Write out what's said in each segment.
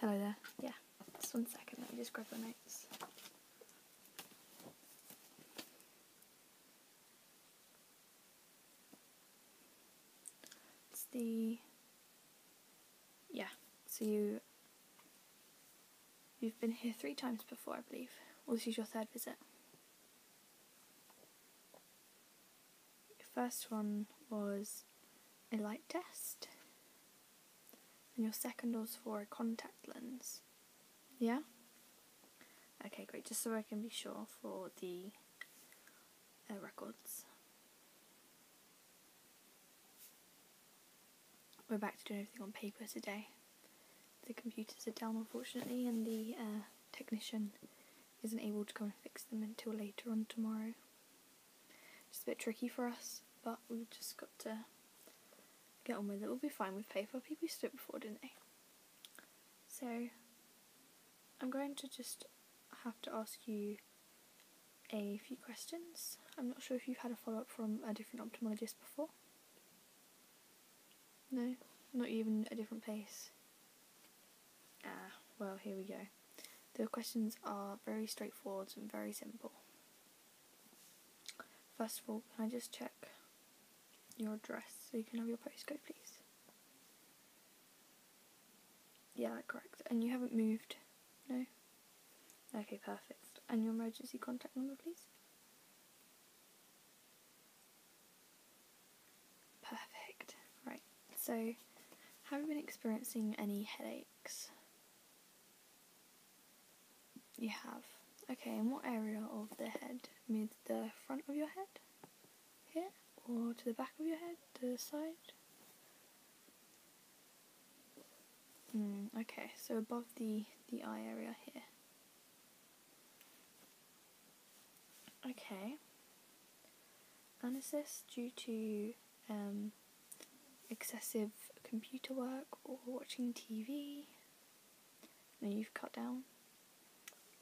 Hello there. Yeah, just one second. Let me just grab my notes. It's the yeah. So you you've been here three times before, I believe. well, this is your third visit first one was a light test, and your second was for a contact lens. Yeah? Okay, great. Just so I can be sure for the uh, records. We're back to doing everything on paper today. The computers are down, unfortunately, and the uh, technician isn't able to come and fix them until later on tomorrow. Just a bit tricky for us, but we've just got to get on with it. We'll be fine with paper. People used to do before, didn't they? So, I'm going to just have to ask you a few questions. I'm not sure if you've had a follow up from a different optometrist before. No, not even a different place. Ah, well, here we go. The questions are very straightforward and very simple. First of all, can I just check your address so you can have your postcode, please? Yeah, that's correct. And you haven't moved? No? Okay, perfect. And your emergency contact number, please? Perfect. Right, so have you been experiencing any headaches? You have. Okay, in what area of the head? Mid the front of your head? Here? Or to the back of your head? The side? Mm, okay, so above the, the eye area here. Okay anasis due to um, excessive computer work or watching TV. No, you've cut down.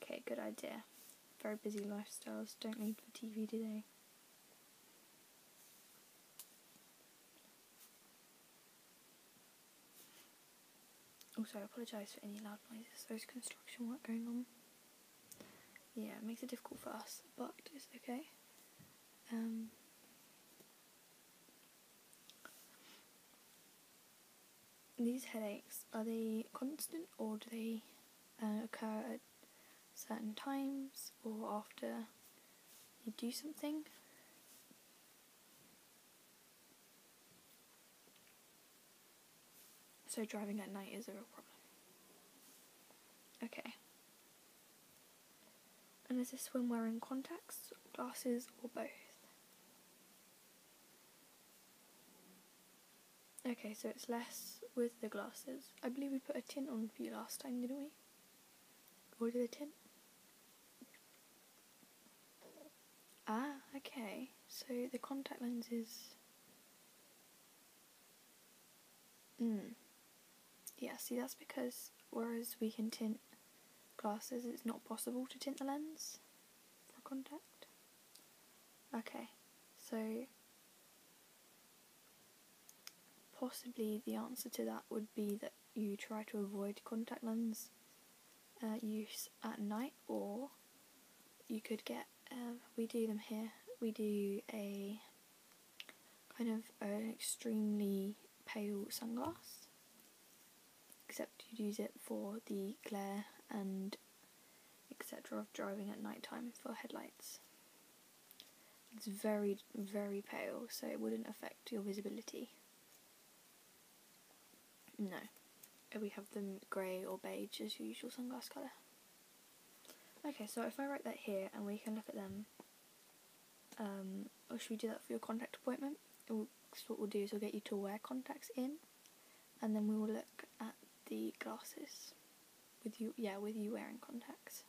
Okay, good idea. Very busy lifestyles don't need the TV, today. they? Also, I apologise for any loud noises. There's construction work going on yeah, it makes it difficult for us, but it's okay. Um, these headaches are they constant or do they uh, occur at certain times or after you do something? So driving at night is a real problem. Okay. And is this when wearing contacts, glasses, or both? Okay, so it's less with the glasses. I believe we put a tint on for you last time, didn't we? Or did a tint? Ah, okay. So the contact lenses Mm. Yeah, see, that's because whereas we can tint glasses, it's not possible to tint the lens for contact. Okay, so possibly the answer to that would be that you try to avoid contact lens uh, use at night, or you could get um, we do them here. We do a kind of an extremely pale sunglasses. except you'd use it for the glare and etc. of driving at night time for headlights. It's very, very pale, so it wouldn't affect your visibility. No. We have them grey or beige as usual sunglasses colour. Okay, so if I write that here and we can look at them, um, or should we do that for your contact appointment? what we'll do is we'll get you to wear contacts in, and then we will look at the glasses with you, yeah, with you wearing contacts.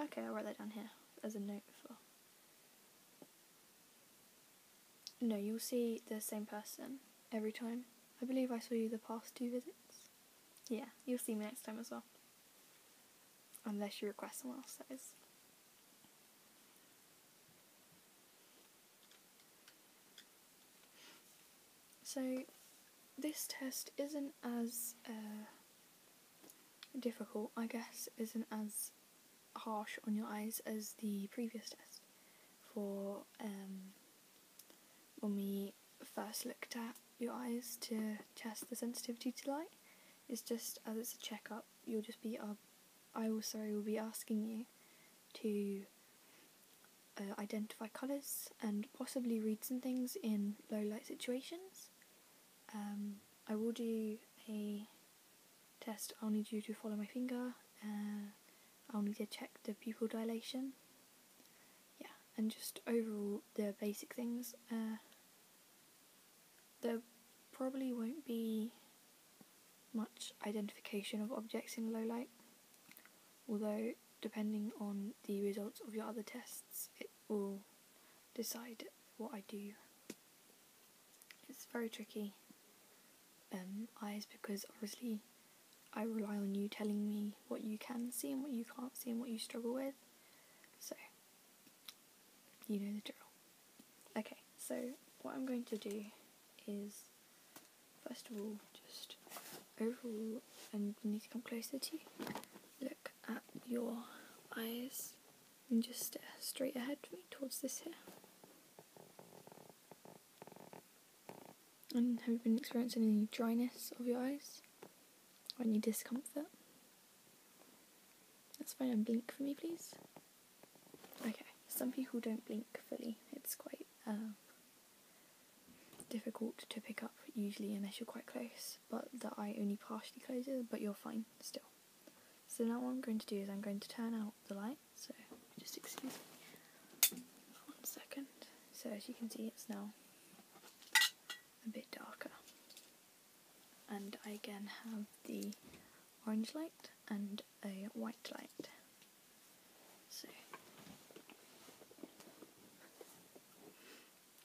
Okay, I'll write that down here as a note for. No, you'll see the same person every time. I believe I saw you the past two visits. Yeah, you'll see me next time as well. Unless you request someone else, that is. So, this test isn't as uh, difficult, I guess, isn't as harsh on your eyes as the previous test for um, when we first looked at your eyes to test the sensitivity to light. It's just as it's a checkup, you'll just be uh, I will sorry will be asking you to uh, identify colours and possibly read some things in low light situations. Um, I will do a test. I'll need you to follow my finger. Uh, I'll need to check the pupil dilation. Yeah, and just overall the basic things. Uh, there probably won't be much identification of objects in low light, although depending on the results of your other tests, it will decide what I do. It's very tricky. Um, eyes because obviously I rely on you telling me what you can see and what you can't see and what you struggle with. So, you know the drill. Okay, so what I'm going to do is first of all, just overall, and you need to come closer to Look at your eyes and just straight ahead towards this here. And have you been experiencing any dryness of your eyes? Or any discomfort? That's fine. find blink for me, please. Okay, some people don't blink fully. It's quite um, difficult to pick up, usually, unless you're quite close. But the eye only partially closes, but you're fine still. So now what I'm going to do is I'm going to turn out the light so just excuse me one second. So as you can see it's now a bit darker. And I again have the orange light and a white light. So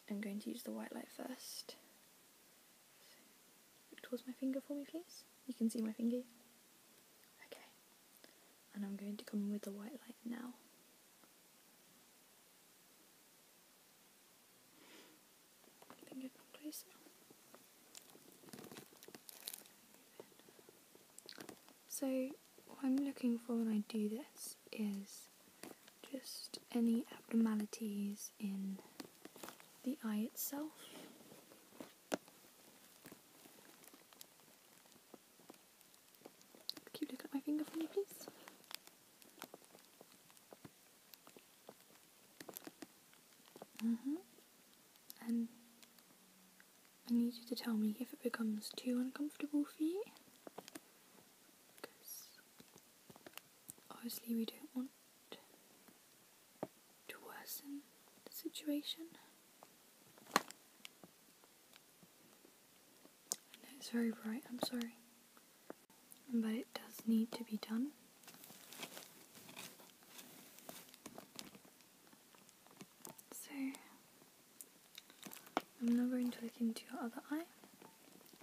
I'm going to use the white light first. So, close my finger for me please. You can see my finger. Okay and I'm going to come in with the white light now. So what I'm looking for when I do this is just any abnormalities in the eye itself. Can you look at my finger for me, please? hmm And I need you to tell me if it becomes too uncomfortable for you. Because obviously we don't want to worsen the situation. I it's very bright, I'm sorry. But it does need to be done. So, I'm not going to look into your other eye.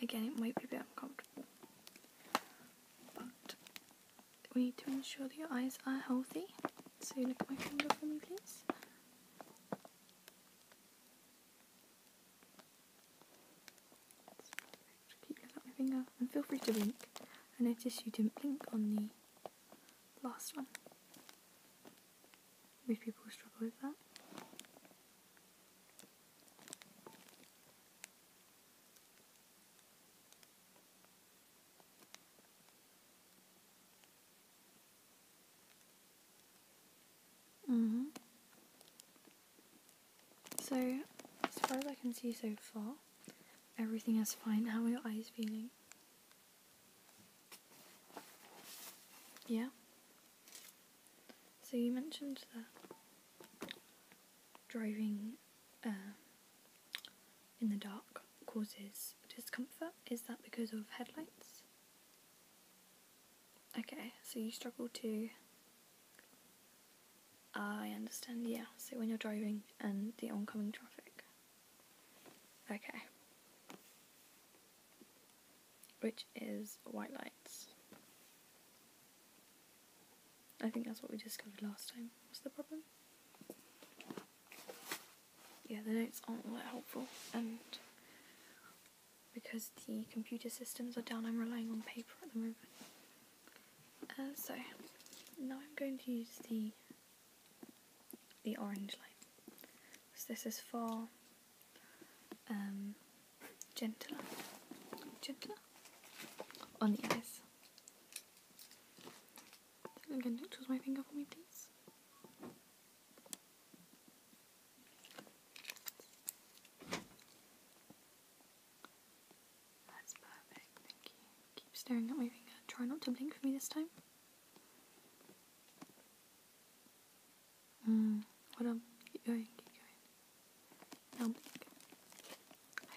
Again, it might be a bit uncomfortable. But we need to ensure that your eyes are healthy. So look at my finger for me, please. Keep looking at my finger and feel free to blink. I noticed you didn't blink on the last one. Most people struggle with that. Mm hmm So, as far as I can see so far, everything is fine. How are your eyes feeling? Yeah. So you mentioned that driving um, in the dark causes discomfort. Is that because of headlights? Okay, so you struggle to. I understand, yeah. So when you're driving and the oncoming traffic. Okay. Which is white lights. I think that's what we discovered last time. What's the problem? yeah, the notes aren't that helpful, and because the computer systems are down, I'm relying on paper at the moment. Uh, so now I'm going to use the the orange light. So this is for um, gentler, gentler on the eyes. Again, don't choose my finger for me, please. That's perfect, thank you. Keep staring at my finger. Try not to blink for me this time. Mm, well done. Keep going, keep going. Now blink.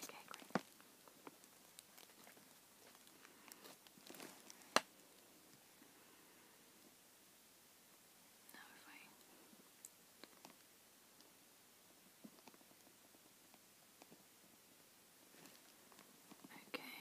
Okay, great. Now if I Okay.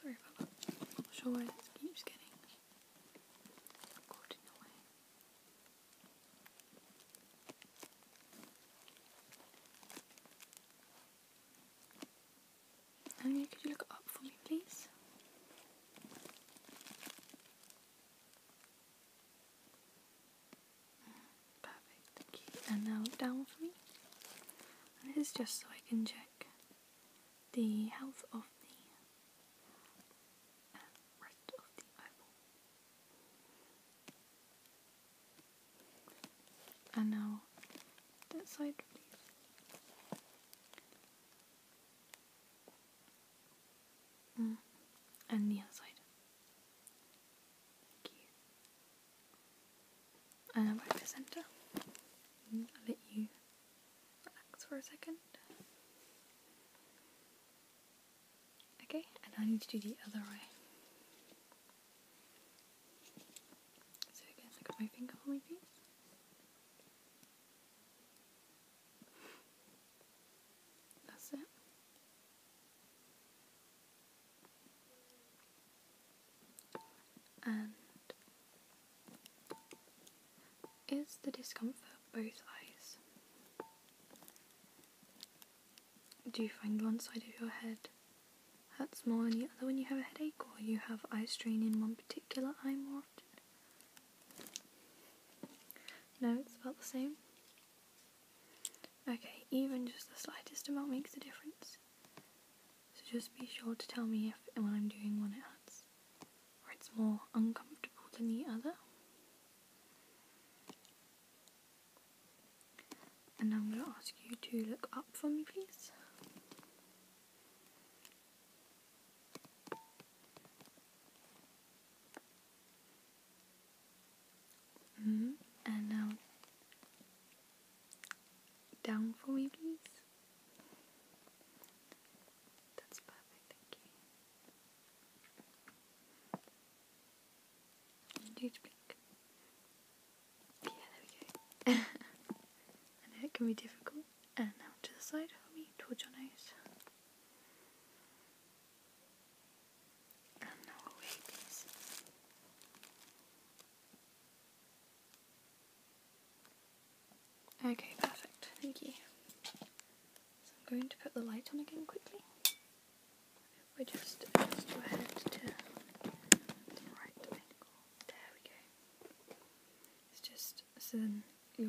Sorry about that. I'm not sure why this keeps getting caught in the way. Anya, could you look up for me, please? Perfect, And now down for me. And this is just so I can check the health of the uh, rest of the eyeball. And now that side, please. Mm. And the other side. Thank you. And then right centre. Mm, I'll let you relax for a second. Okay, and I need to do the other way. So again, look at my finger for me, please. That's it. And is the discomfort both eyes? Do you find one side of your head hurts more than the other when you have a headache, or you have eye strain in one particular eye more often? No, it's about the same. Okay, even just the slightest amount makes a difference. So just be sure to tell me if when I'm doing one it hurts or it's more uncomfortable than the other. And I'm going to ask you to look up for me, please. -hmm. And now down for me, please. That's perfect, thank you. Huge blink. Yeah, there we go. I it can be difficult. And now to the side for towards your nose. Okay, perfect. Thank you. So I'm going to put the light on again quickly. We just adjust your head to the right angle. There we go. It's just so then your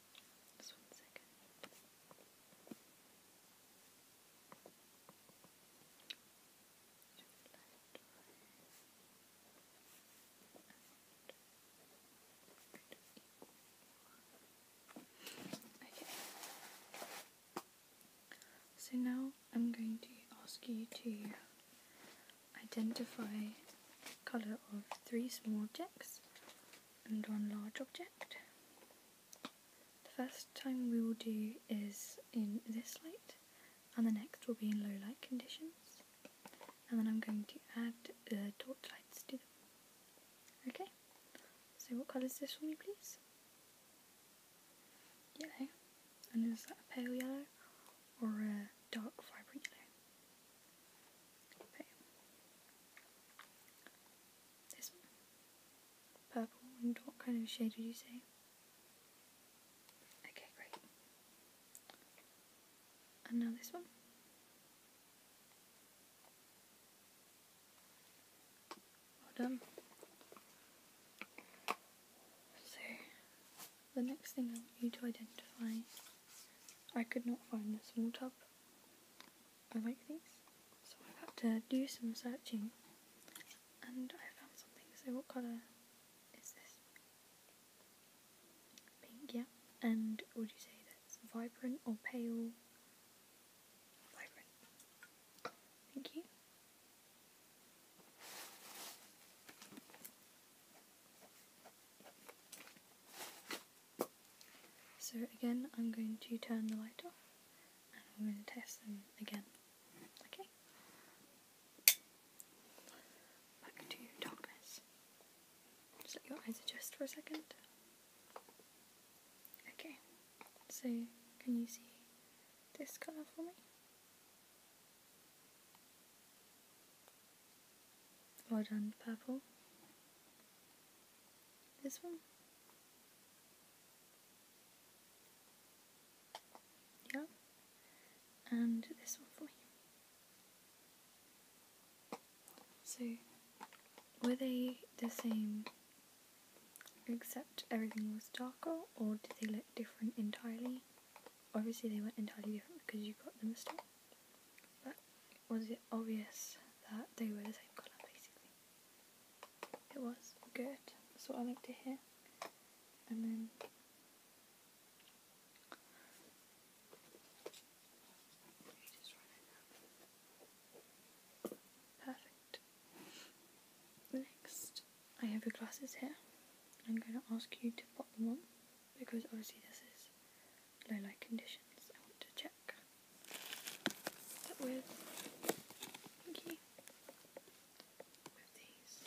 Okay. So now I'm going to ask you to identify the colour of three small objects and one large object. The first time we will do is in this light and the next will be in low light conditions and then I'm going to add uh, torch lights to them. Okay, so what colour is this for me please? Yellow, and is that a pale yellow or a dark vibrant yellow? This purple and what kind of shade would you say? Okay, great. And now this one. Well done. So, the next thing I want you to identify I could not find the small tub. I like these, so I have had to do some searching, and I found something. So what colour is this? Pink, yeah. And would you say that's vibrant or pale? Vibrant. Thank you. So again, I'm going to turn the light off and I'm going to test them again. Okay? Back to darkness. Just let your eyes adjust for a second. Okay, so can you see this colour for me? Well done, purple. This one? Yeah. And this one for me. So, were they the same except everything was darker, or did they look different entirely? Obviously, they weren't entirely different because you got the mistake. but was it obvious that they were the same colour basically. It was good, that's what I like to hear. And then it Perfect. Next I have your glasses here. I'm gonna ask you to put them on because obviously this is low light conditions. I want to check that with with these.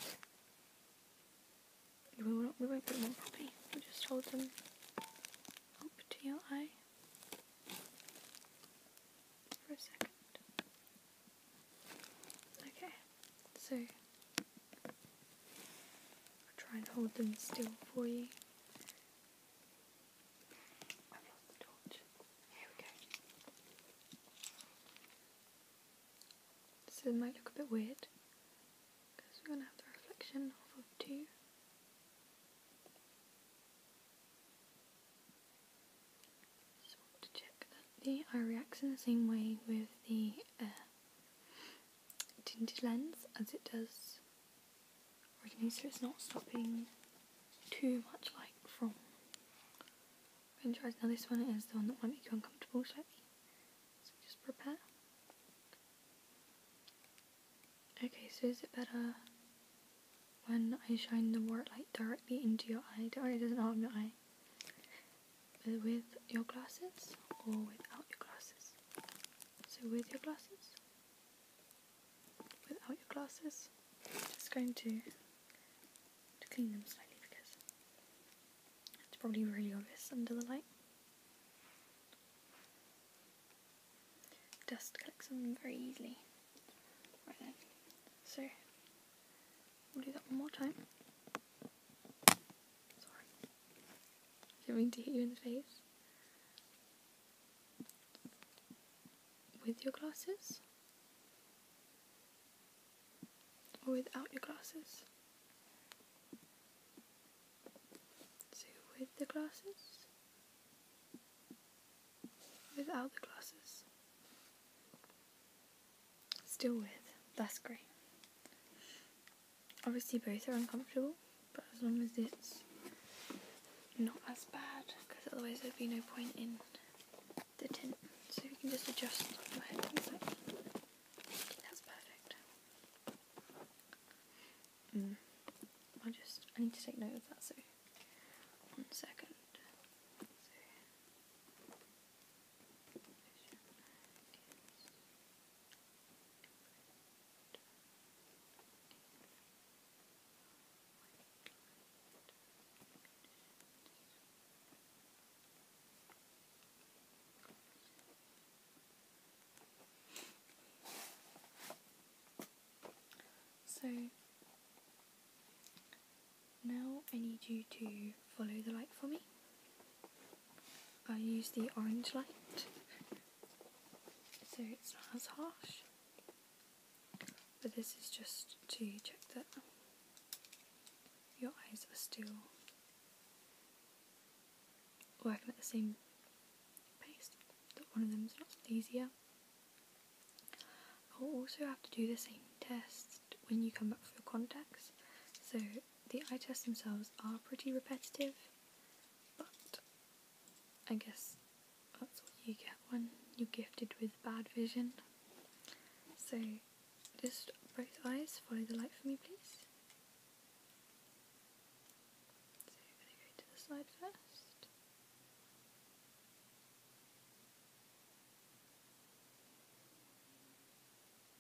We won't, we won't put them on properly. we just hold them up to your eye for a second. Okay, so I'll try and hold them still for you. This might look a bit weird because we're going to have the reflection of two. So I the eye reacts in the same way with the tinted lens as it does recognize so it's not stopping too much light from windshields. Now this one is the one that might make you uncomfortable slightly, so just prepare. Okay, so is it better when I shine the wart light directly into your eye? do it doesn't harm your eye. With your glasses or without your glasses? So with your glasses, without your glasses, just going to, to clean them slightly because it's probably really obvious under the light. Dust collects them very easily. Right then. So, we'll do that one more time. Sorry. Did I mean to hit you in the face? With your glasses? Or without your glasses? So with the glasses? Without the glasses? Still with. That's great. Obviously, both are uncomfortable, but as long as it's not as bad, because otherwise there'd be no point in the tint. So we can just adjust your head perfect. Mm. I just I need to take note of that. So one second. So now I need you to follow the light for me. I use the orange light so it's not as harsh but this is just to check that your eyes are still working at the same pace that one of them is a lot easier I'll also have to do the same test when you come back for your contacts so the eye tests themselves are pretty repetitive, but I guess that's what you get when you're gifted with bad vision. So just both eyes, follow the light for me please. So going to the side first.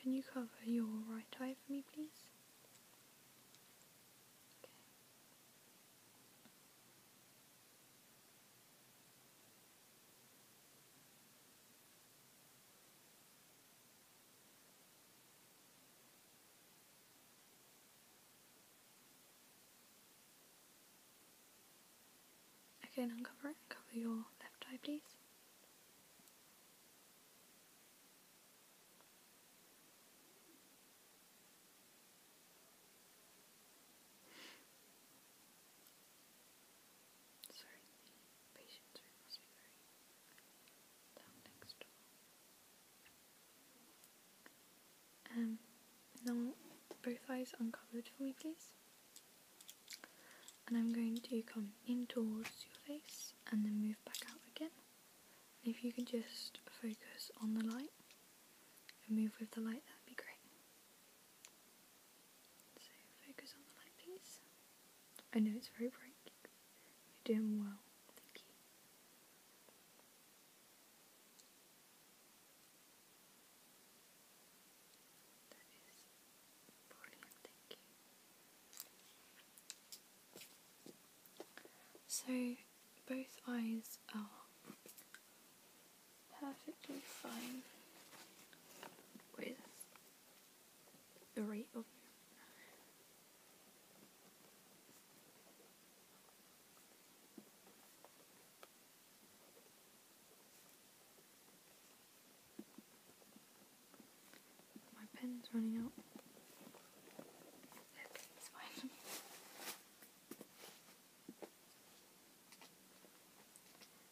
can you cover your right eye for me, please? Okay. uncover it. Cover your left eye, please. Sorry, the patients are must be very down next door. Um, now both eyes uncovered for me, please and I'm going to come in towards your face and then move back out again. if you can just focus on the light and move with the light, that'd be great. So focus on the light, please. I know it's very bright. You're doing well. Thank you. So both eyes are perfectly fine with the rate of my pen's running out.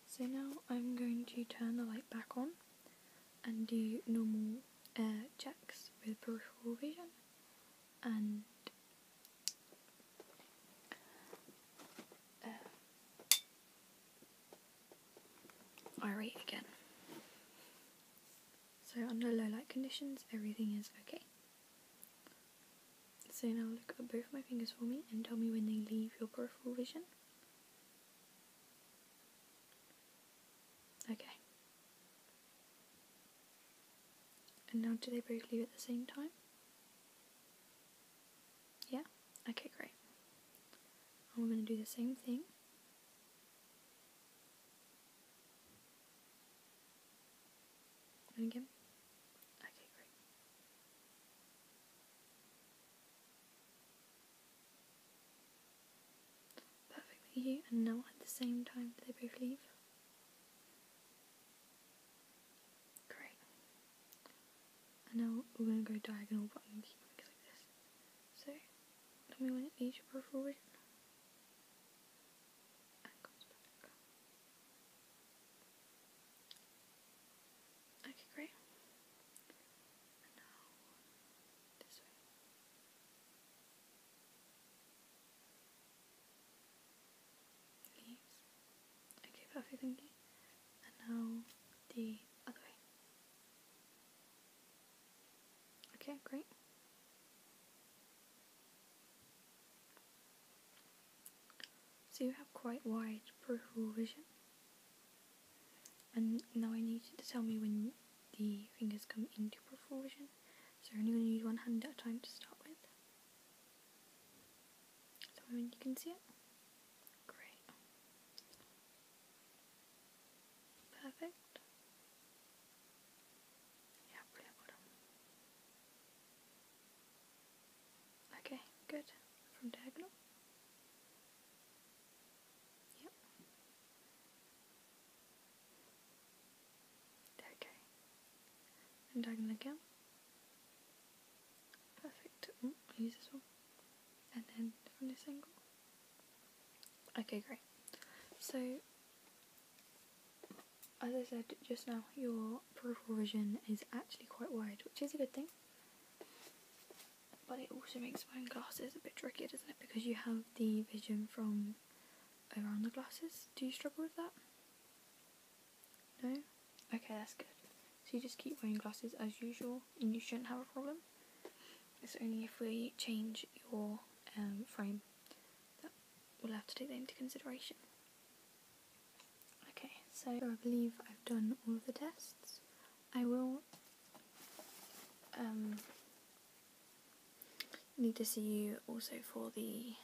So now I'm going to turn the light back on and do normal uh, checks with peripheral vision and uh, irate again. So under low light conditions, everything is okay. So now look at both my fingers for me and tell me when they leave your peripheral vision. Okay. And now do they both leave at the same time? Yeah? Okay, great. And we're going to do the same thing. And again. Okay, great. Perfectly here and now at the same time they both leave. Great. And now we're going to go diagonal, but I'm like this. So, we me when it needs your perforation. Okay, great. this way. Okay, perfect, and now the other way. Okay, great. So you have quite wide peripheral vision. And now I need you to tell me when the fingers come into peripheral vision. So I'm only going to use one hand at a time to start with. So when you can see it. Great. Perfect. Yeah, brilliant. Well Okay, good. From diagonal. Yep. Okay. And diagonal again. Perfect. use this one. And then from this angle. Okay, great. So, as I said just now, your peripheral vision is actually quite wide, which is a good thing. But it also makes wearing glasses a bit trickier, doesn't it? Because you have the vision from around the glasses. Do you struggle with that? No? Okay, that's good. So you just keep wearing glasses as usual and you shouldn't have a problem. It's only if we change your um, frame that we'll have to take that into consideration. Okay, so I believe I've done all of the tests. I will um, need to see you also for the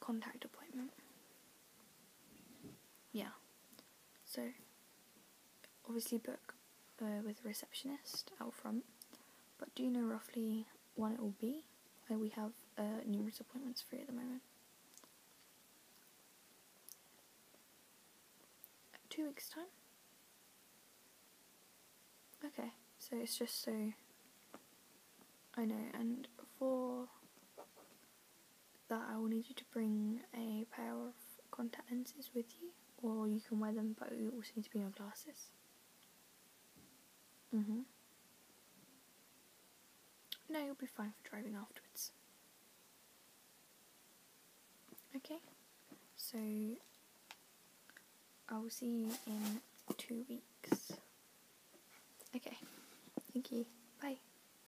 contact appointment. Yeah. So, obviously, book uh, with receptionist out front. But do you know roughly when it will be? we have uh, numerous appointments free at the moment. Two weeks' time? Okay, so it's just so I know. And for that I will need you to bring a pair of contact lenses with you, or you can wear them, but you also need to bring your glasses. Mhm. No, you'll be fine for driving afterwards. Okay. So I will see you in two weeks. Okay. Thank you. Bye.